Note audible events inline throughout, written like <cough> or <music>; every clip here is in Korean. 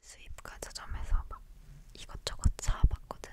수입과 저점에서 막 이것저것 사봤거든.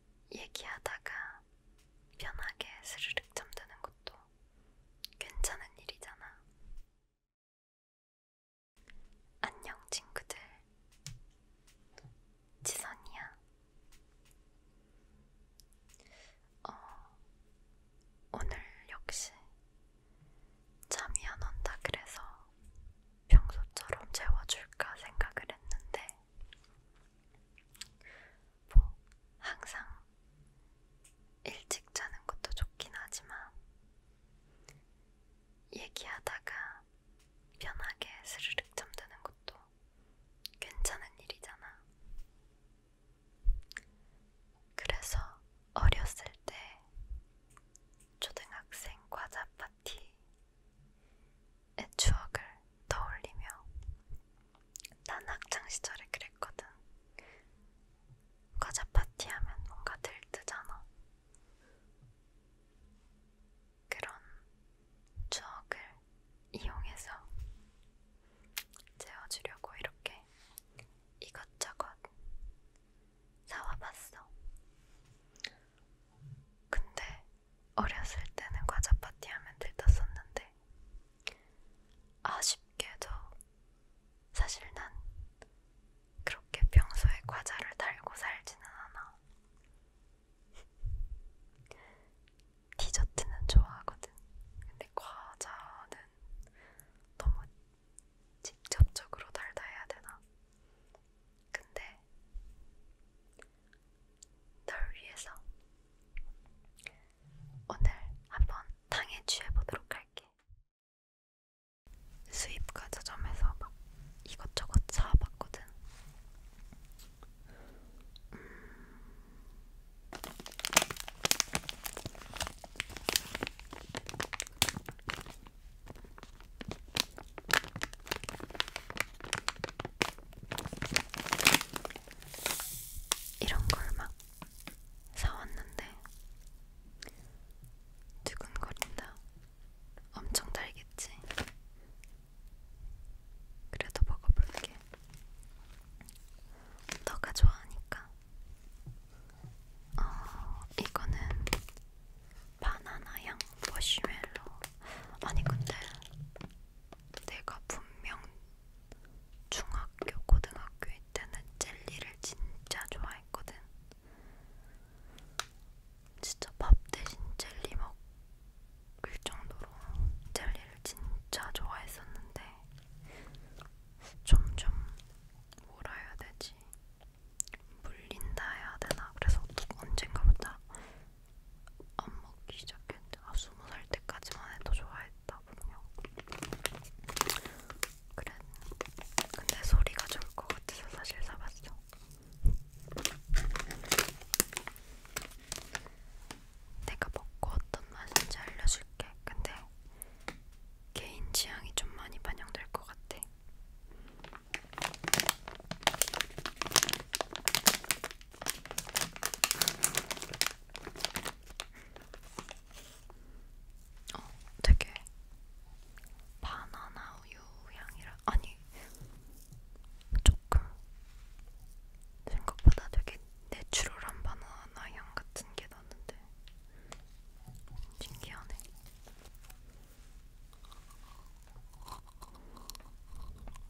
얘기하다가 편하게 스르륵 잠드는 것도 괜찮은 일이잖아. 안녕, 친구들. 지선이야. 어, 오늘 역시 잠이 안 온다 그래서 평소처럼 재워줄까 생각을 했는데 뭐 항상 일찍 자는 것도 좋긴 하지만 얘기하다가 편하게 스르륵 잠드는 것도 괜찮은 일이잖아. 그래서 어렸을 때 초등학생 과자 파티 의 추억을 떠올리며 난 학창시절에 그랬거든. 과자 파티하면 뭔가 들뜨잖아. 그런 추억을 이용해서 재워주려고 이렇게 이것저것 사와봤어. 근데 어렸을 때는 과자 파티하면 들떴었는데 아쉽게도 사실 난 그렇게 평소에 과자를 달고 살지는 않아. 디저트는 좋아하거든. 근데 과자는 너무 직접적으로 달다 해야 되나? 근데 널 위해서 오늘 한번 당에 취해보도록 할게. 수입과자점에서 막 이것저것 사봤거든. 음... 이런 걸 막 사왔는데 두근거린다. 엄청 달겠지. 그래도 먹어볼게. 너가 좋아하니까. 어, 이거는 바나나향 머시멜로. 아니 근데 내가 분명 중학교, 고등학교 때는 젤리를 진짜 좋아했거든. 진짜 밥 대신 젤리 먹을 정도로 젤리를 진짜 좋아했었는데 점점 뭐라 해야 되지? 물린다 해야 되나? 그래서 언젠가부터 안 먹기 시작했는데 아 스무 살 때까지만 해도 좋아했다 분명. 그래. 근데 소리가 좋을 것 같아서 사실 사봤어. 내가 먹고 어떤 맛인지 알려줄게. 근데 개인 취향이 좀 많이 반영될 것 같아. 어, 되게 바나나 우유 향이라 아니 조금 생각보다 되게 내추럴한 바나나 향 같은 게 나는데 신기하네.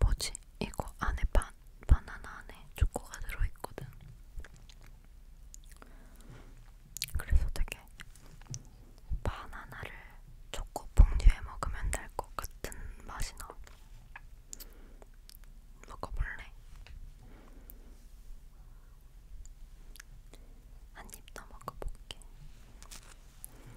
뭐지? 이거 안에 바, 바나나 안에 초코가 들어있거든. 그래서 되게 바나나를 초코 봉지에 먹으면 될 것 같은 맛이 나. 먹어볼래? 한 입 더 먹어볼게. 음.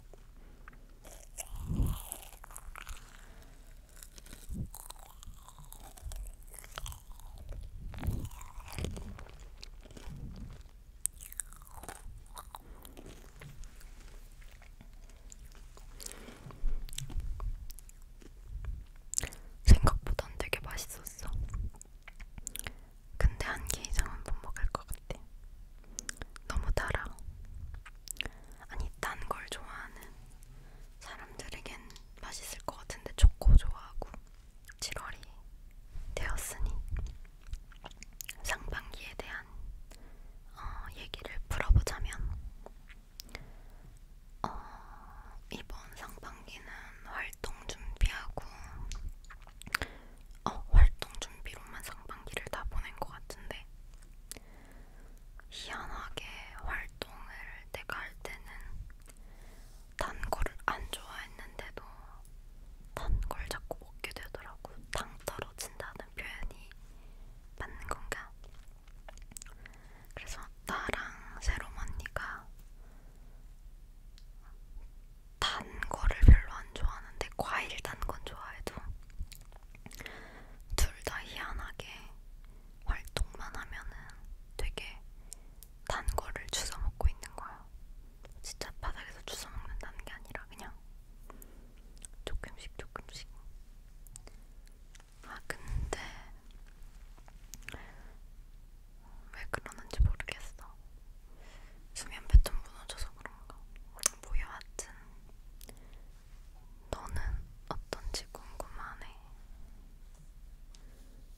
생각보단 되게 맛있었어. 근데 한 개 이상은 못 먹을 것 같아. 너무 달아. 아니 단걸 좋아하는 사람들에겐 맛있을 것 같은데 초코 좋아하고 7월이 되었으니 상반기에 대한 어, 얘기를 풀어보자면 어, 이번 상반기는 활동 준비하고 어, 활동 준비로만 상반기를 다 보낸 것 같은데 희한하게 활동을 내가 할 때는 단 거를 안 좋아했는데도 단 걸 자꾸 먹게 되더라고. 당 떨어진다는 표현이 맞는 건가? 그래서 나랑 새롬 언니가 단 거를 별로 안 좋아하는데 과일 단 건 좋아해도 둘 다 희한하게 활동만 하면은 되게 단 거를 주워 먹고 있는 거야. 진짜 바닥에서 주워 먹는다는 게 아니라 그냥 조금씩 조금씩. 아 근데 왜 그러는지 모르겠어. 수면 패턴 무너져서 그런가? 뭐야 하여튼 너는 어떤지 궁금하네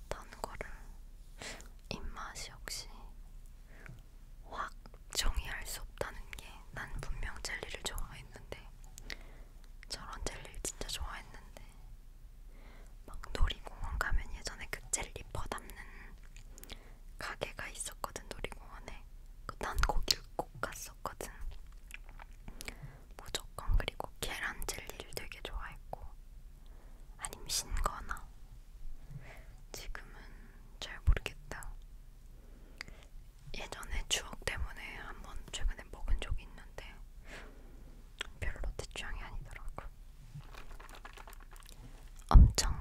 단 거를 입맛이 역시 확 정의할 수 없다는 게 난 분명 젤리를 좋아했는데 저런 젤리를 진짜 좋아했는데 막 놀이공원 가면 예전에 그 젤리 퍼담는 가게가 있었거든 놀이공원에. 그 난 거길 꼭 갔었거든. 무조건 그리고 계란 젤리를 되게 좋아했고, 아니면 신거나. 지금은 잘 모르겠다. 예전에 추억 때문에 한번 최근에 먹은 적이 있는데 별로 내 취향이 아니더라고. 엄청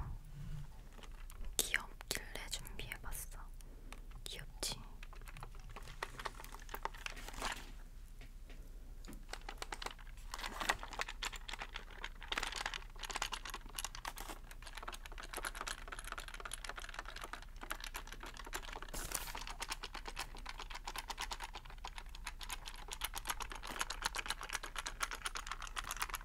귀엽길래 준비해봤어. 귀엽지?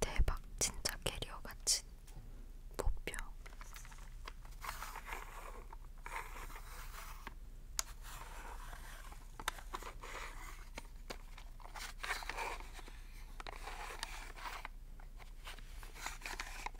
대박 진짜 캐리어 같은 목표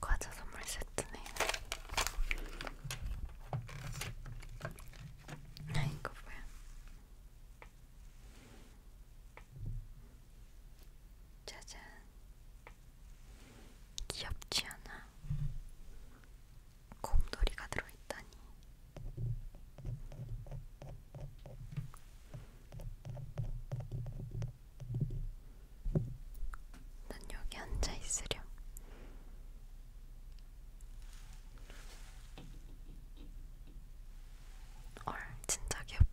과자 선물 세트네. 이거 뭐야? 짜잔. 귀엽지 않아? 곰돌이가 들어있다니. 난 여기 앉아 있으렴. 헐 진짜 귀엽다.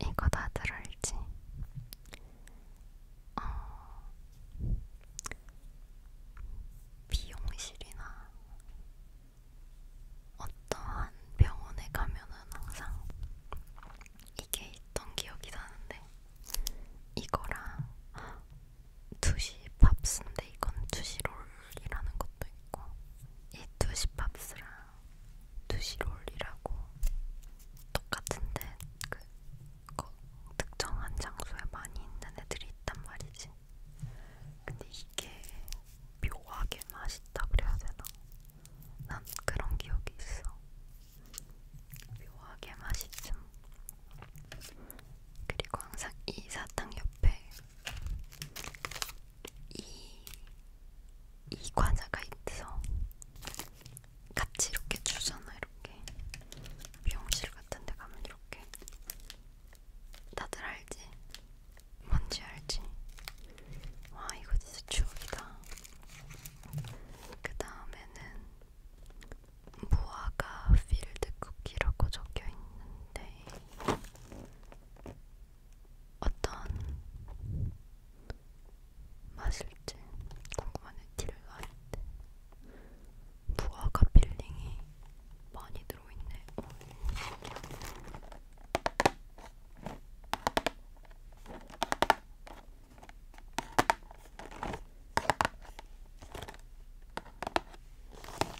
이거 다 들어있지? 어... 미용실이나 어떠한 병원에 가면은 항상 이게 있던 기억이 나는데 이거랑 2시 팝스인데 이건 2시 롤이라는 것도 있고 이 2시 팝스랑 2시 롤이라고 똑같은데 그, 그 특정한 장소에 많이 있는 애들이 있단 말이지 근데 이게 묘하게 맛있다 그래야 되나? 난 그런 기억이 있어 묘하게 맛있음 그리고 항상 이 사탕 옆에 이, 이 과자가 있어. 같이 이렇게 주잖아, 이렇게. 미용실 같은 데 가면 이렇게. 다들 알지? 뭔지 알지? 와, 이거 진짜 추억이다. 그 다음에는 무화과 필드 쿠키라고 적혀 있는데 어떤 맛일지 궁금하네. 티를 가는데 무화과 필링이 많이 들어있네. 오, 어,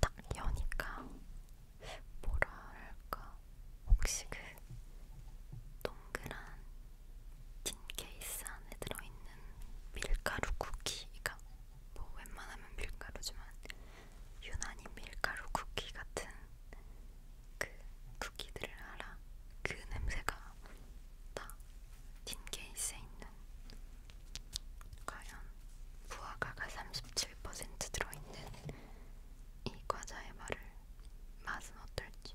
딱 여니까 뭐랄까 혹시 그 동그란 틴 케이스 안에 들어있는 밀가루 쿠키가 뭐 웬만하면 밀가루지만 유난히 밀가루 쿠키 같은 그 쿠키들을 알아. 그 냄새가 다 틴케이스에 있는 과연 무화과가 37% 들어있는 이 과자의 말을 맛은 어떨지.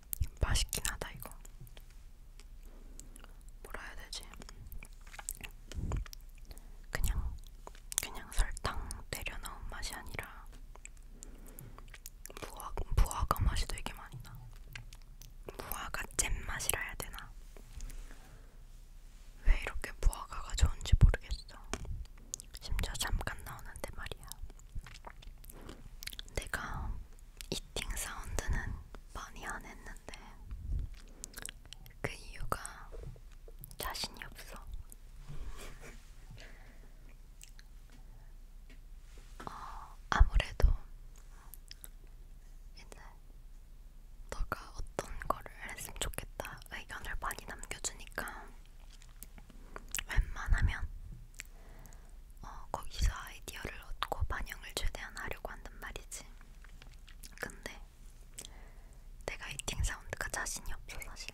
맛있긴 하다 이거. 뭐라 해야 되지? 그냥 그냥 설탕 때려 넣은 맛이 아니라 무화 무화과 맛이 되게 많이 나. 무화과 잼 맛이라 해야 되나? 왜 이렇게 무화과가 좋은지 모르겠어. 심지어 잠깐 나오는데 말이야. 내가 이팅 사운드는 많이 안 했는데 그 이유가 자신이 없어. <laughs> 어, 아무래도 이제 너가 어떤 거를 했으면 좋겠다 의견을 많이 남겨주니까 웬만하면 어, 거기서 아이디어를 얻고 반영을 최대한 하려고 한단 말이지. 근데 내가 이팅 사운드가 자신이 없어 사실.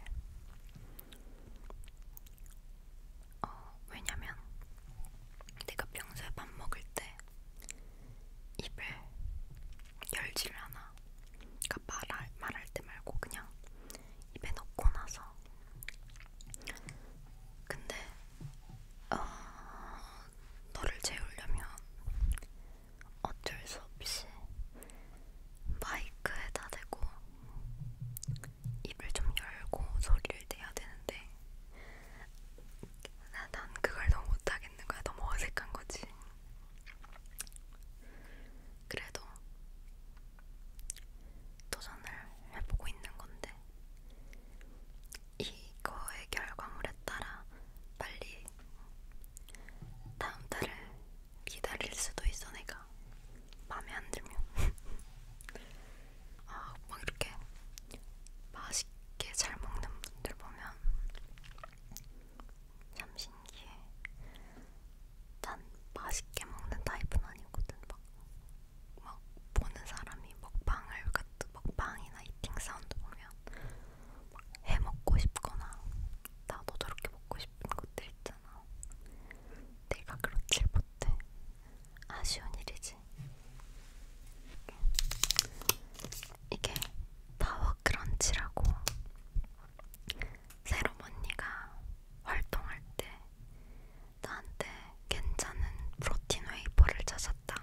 어, 왜냐면 내가 평소에 밥 먹을 때 입을 열지를 않아. 그러니까 말할 말할 때 말고 그냥 입에 넣고 나서 근데 어, 너를 재우려면 어쩔 수 없이 마이크에다 대고 입을 좀 열고 소리를 내야 되는데 나, 난 그걸 너무 못하겠는 거야. 너무 어색한 거지. 그래도 도전을 해보고 있는 건데 이거의 결과물에 따라 빨리 다음 달을 기다릴 수도 있어 내가 마음에 안 들면 <laughs> 아막 이렇게 맛있게 잘 먹는 분들 보면 참 신기해 난 맛있게 먹는 타입은 아니거든 막막 보는 사람이 먹방을 같은 먹방이나 이팅 사운드 보면 막해 먹고 싶거나 나도 저렇게 먹고 싶은 것들 있잖아. 내가 그렇질 못해. 아쉬운 일이지. 이게 파워 크런치라고 새롬 언니가 활동할 때 나한테 괜찮은 프로틴 웨이퍼를 찾았다.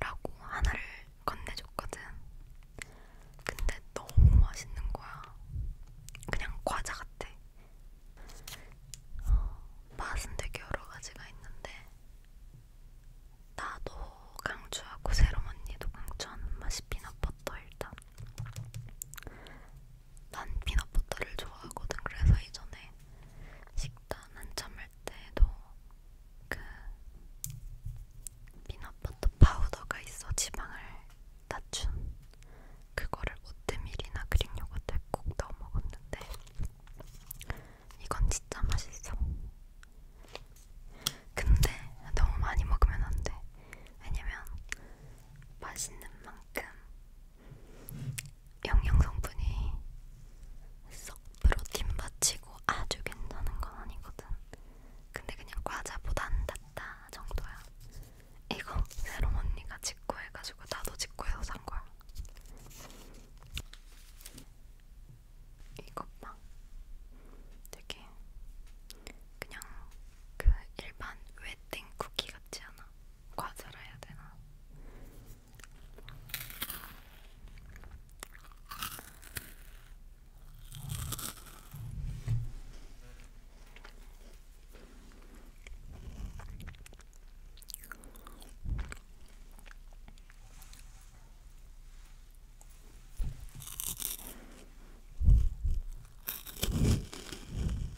라고 하나를 건네줬거든. 근데 너무 맛있는 거야. 그냥 과자 같아. 어, 맛은 되게 여러 가지가 있는데, 나도 강추하고 새로운 언니도 강추하는 맛이 피넛버터 일단. 난 피넛버터를 좋아하거든. 그래서 이전에 식단 한참 할 때도 그 피넛버터 파우더가 있어 지방을 낮춘 그거를 오트밀이나 그릭 요거트에 꼭 넣어 먹었는데 이건 진짜 맛있어. 근데 너무 많이 먹으면 안 돼. 왜냐면 맛있는 만큼 영양 성분이 썩 프로틴 받치고 아주 괜찮은 건 아니거든. 근데 그냥 과자보단 낫다 정도야. 이거 새롬 언니가 직구해가지고 나도 직구해서 산 거야. 이것 봐. 되게 그냥 그 일반 웨딩 쿠키 같지 않아? 과자라 해야 되나?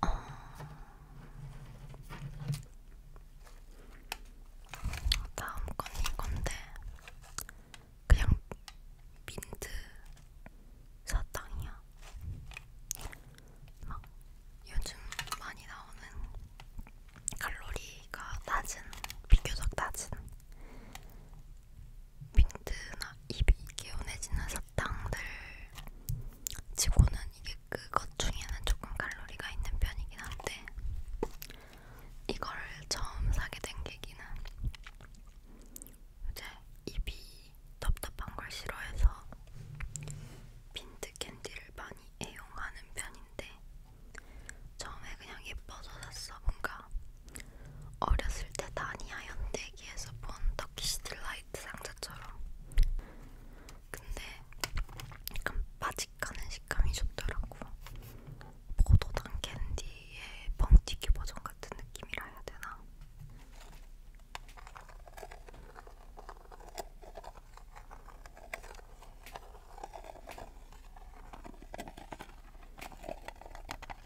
어... 다음 건 이건데 그냥 민트 사탕이야. 막 요즘 많이 나오는 칼로리가 낮은 비교적 낮은 빈트나 입이 개운해지는 사탕들 치고는 이게 그 것 중에는 조금 칼로리가 있는 편이긴 한데 이걸 처음 사게 된 계기는 이제 입이 답답한 걸 싫어해서 빈트 캔디를 많이 애용하는 편인데 처음에 그냥 예뻐서 샀어. 뭔가 어렸을 때 다니아 현대기에서 본 터키시 딜라이트 상자처럼 근데 약간 바직하는 식감이 좋더라고 포도당 캔디의 뻥튀기 버전 같은 느낌이라 해야 되나?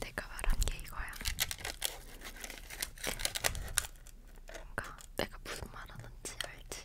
내가 말한 게 이거야. 뭔가 내가 무슨 말 하는지 알지?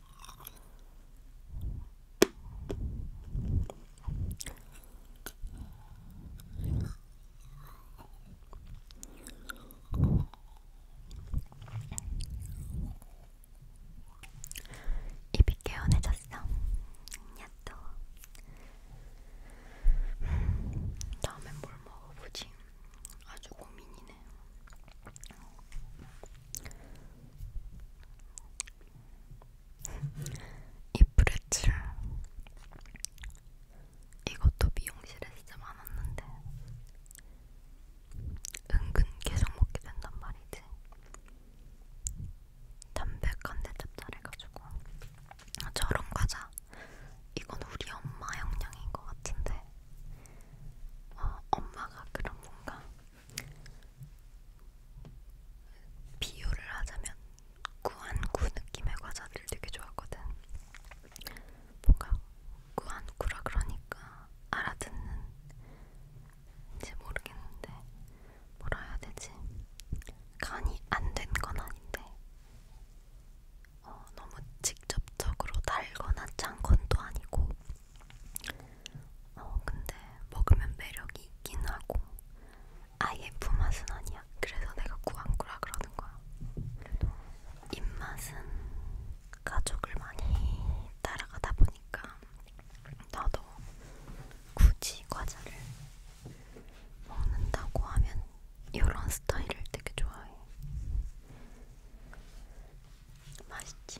입이 개운해졌어. 야또 음, 다음엔 뭘 먹어보지? 아주 고민이네. 이 브레츠 이것도 미용실에 진짜 많았는데 은근 계속 먹게 된단 말이지 담백한데 짭짤해가지고 아, 저런 과자 이건 우리 엄마 영양인 것 같은데 어, 엄마가 그런 뭔가 비유를 하자면 꾸안꾸 느낌의 과자들을 되게 좋아하거든. 뭔가 꾸안꾸라 그러니까 알아듣는지 모르겠는데 뭐라 해야 되지? 간이 안 된 건 아닌데 어, 너무 직접적으로 달거나 짠 건도 아니고 어 근데 먹으면 매력이 있긴 하고 아예 품맛은 아니야. 그래서 내가 꾸안꾸라 그러는 거야. 그래도 입맛은 가족을 많이 따라가다 보니까 나도 굳이 과자를 먹는다고 하면 이런 스타일을 되게 좋아해. 맛있지?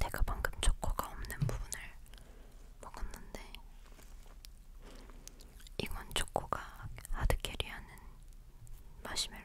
내가 방금 초코가 없는 부분을 먹었는데 이건 초코가 하드캐리하는 마시멜로였네.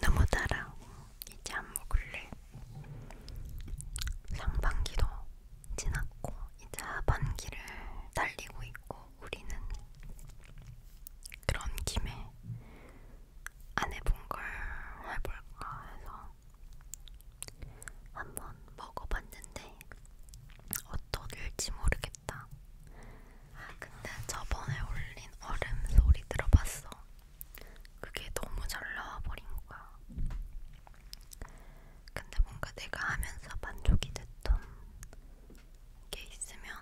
너무 달아오고 이제 안 먹을래. 상반기도 지났고 이제 하반기를 달리고 있고 우리는 그런 김에 안 해본 걸 해볼까 해서 한번 먹어봤는데 어떨지 모르겠다. 아 근데 저번에 올린 얼음 소리 들어봤어. 그게 너무 잘 나와버린 거야. 근데 뭔가 내가 하면서 만족이 됐던 게 있으면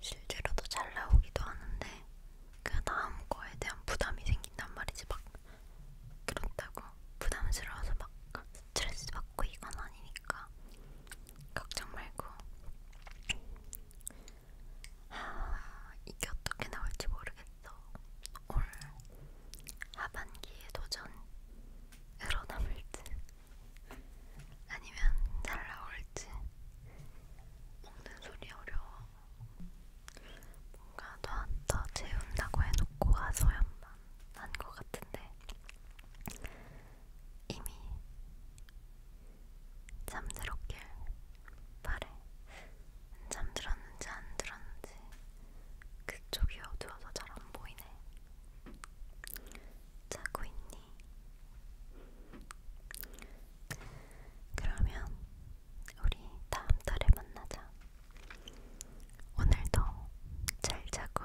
실제로도 잘 나오기도 하는데 그 다음 거에 대한 부담이 생긴단 말이지 막 그렇다고 부담스러워서 막 스트레스 받고 이건 아니니까 걱정 말고 아, 이게 어떻게 나올지 모르겠어. 올 하반기에 도전으로 남을지 아니면 잘 나올지 먹는 소리 어려워. 뭔가 더더 재운다고 해놓고 와서야만 한것 같은데 이미 잠들었길 바래. 잠들었는지 안 들었는지 그쪽이 어두워서 잘 안 보이네. 자고 있니? 그러면 우리 다음 달에 만나자. 오늘도 잘 자고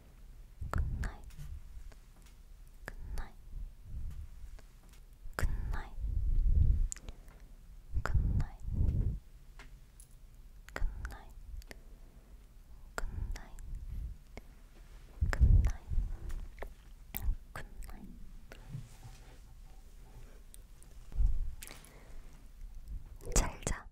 굿나잇 굿나잇 굿나잇 굿나잇 굿나잇 굿나잇 굿나잇 굿나잇 잘자